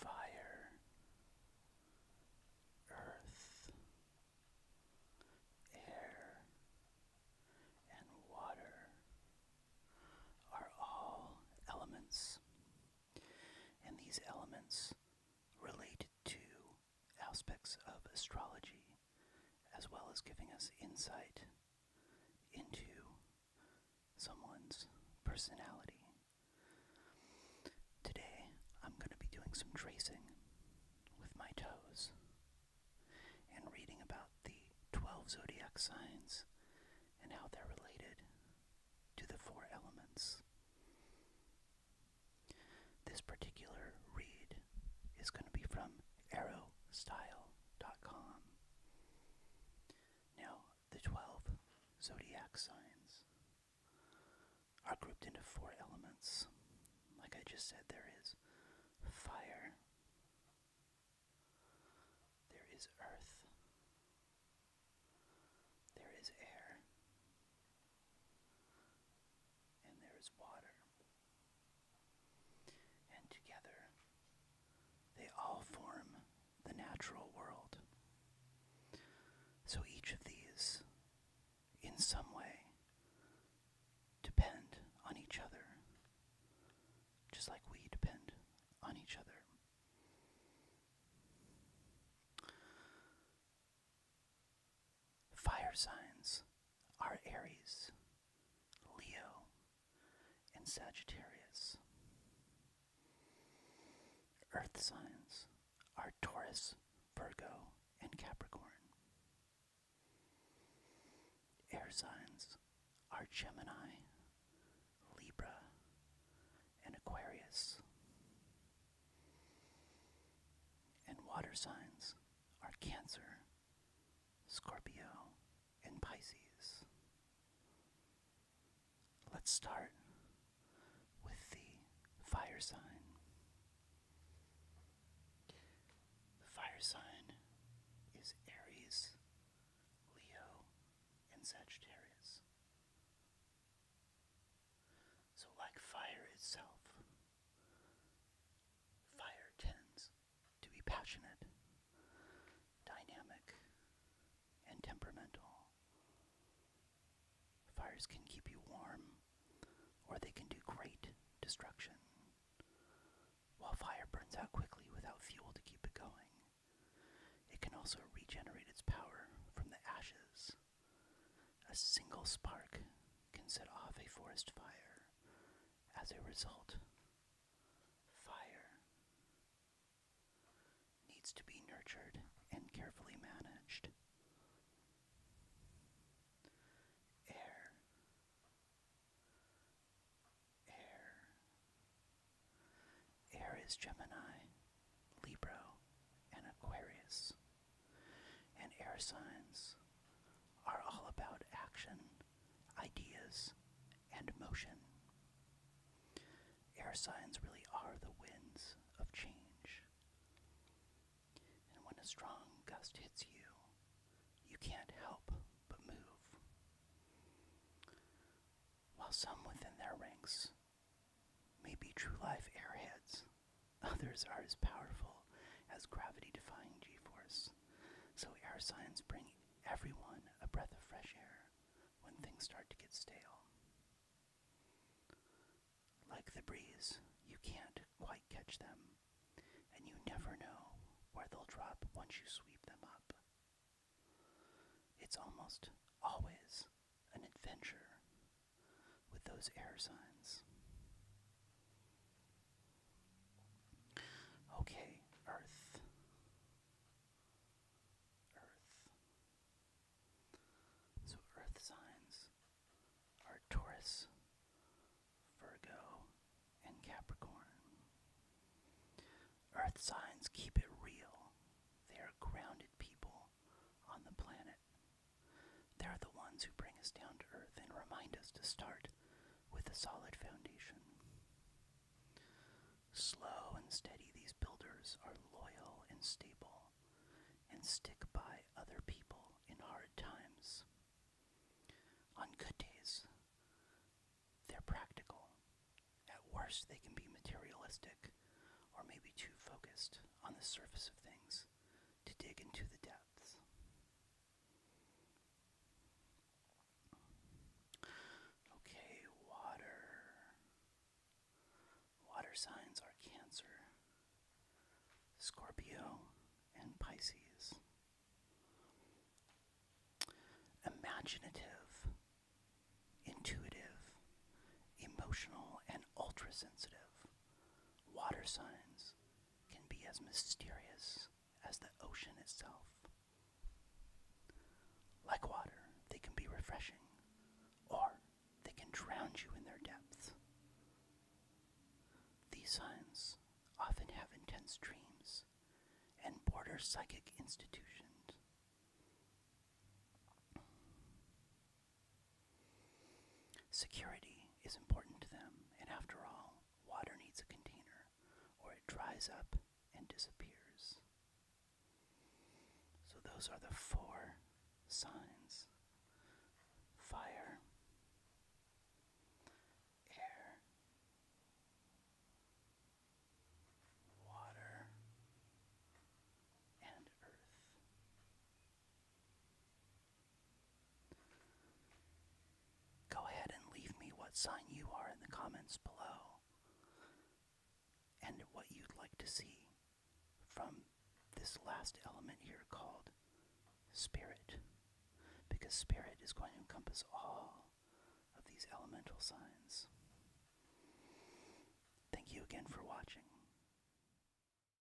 Fire, earth, air, and water are all elements, and these elements relate to aspects of astrology as well as giving us insight into someone's personality. Today, I'm going to be doing some tracing with my toes and reading about the 12 zodiac signs and how they're related to the four elements. This particular read is going to be from arrowstyle.com. Now, the 12 zodiac signs are grouped into four elements. Like I just said, there is fire, there is earth, there is air, and there is water. And together, they all form the natural world. So each of these, in some way, depend on each other, just like we depend on each other. Fire signs are Aries, Leo, and Sagittarius. Earth signs are Taurus, Virgo, and Capricorn. Air signs are Gemini, Libra, and Aquarius. And water signs are Cancer, Scorpio, in Pisces. Let's start with the fire sign. The fire sign is Aries, Leo, and Sagittarius. So, like fire itself, fire tends to be passionate, dynamic, and temperamental. Fires can keep you warm, or they can do great destruction. While fire burns out quickly without fuel to keep it going, it can also regenerate its power from the ashes. A single spark can set off a forest fire, as a result, fire needs to be nurtured and carefully managed. Air, air, air is Gemini, Libra, and Aquarius, and air signs are all about action ideas, and motion. Air signs really are the winds of change. And when a strong gust hits you, you can't help but move. While some within their ranks may be true life airheads, others are as powerful as gravity defying g force. So air signs bring everyone a breath of fresh air when things start to get stale. Like the breeze, you can't quite catch them, and you never know where they'll drop once you sweep them up. It's almost always an adventure with those air signs. Okay, Earth. Earth. So Earth signs are Taurus, Virgo, and Capricorn. Earth signs keep it real. They are grounded people on the planet they are the ones who bring us down to earth and remind us to start with a solid foundation. Slow and steady, these builders are loyal and stable and stick by other people in hard times. On good days, they're practical. At worst, they can be materialistic or maybe too focused on the surface of things to dig into the depths. Okay, water. Water signs are Cancer, Scorpio, and Pisces. Imaginative, intuitive, emotional, and ultra sensitive. Water signs can be as mysterious as the ocean itself. Like water, they can be refreshing, or they can drown you in their depths. These signs often have intense dreams and border psychic institutions. Security is important to them, and after all, water needs a container or it dries up and disappears. So, those are the four signs fire, air, water, and earth. Go ahead and leave me what sign you are in the comments below and what you'd like to see from this last element here called spirit. Because spirit is going to encompass all of these elemental signs. Thank you again for watching.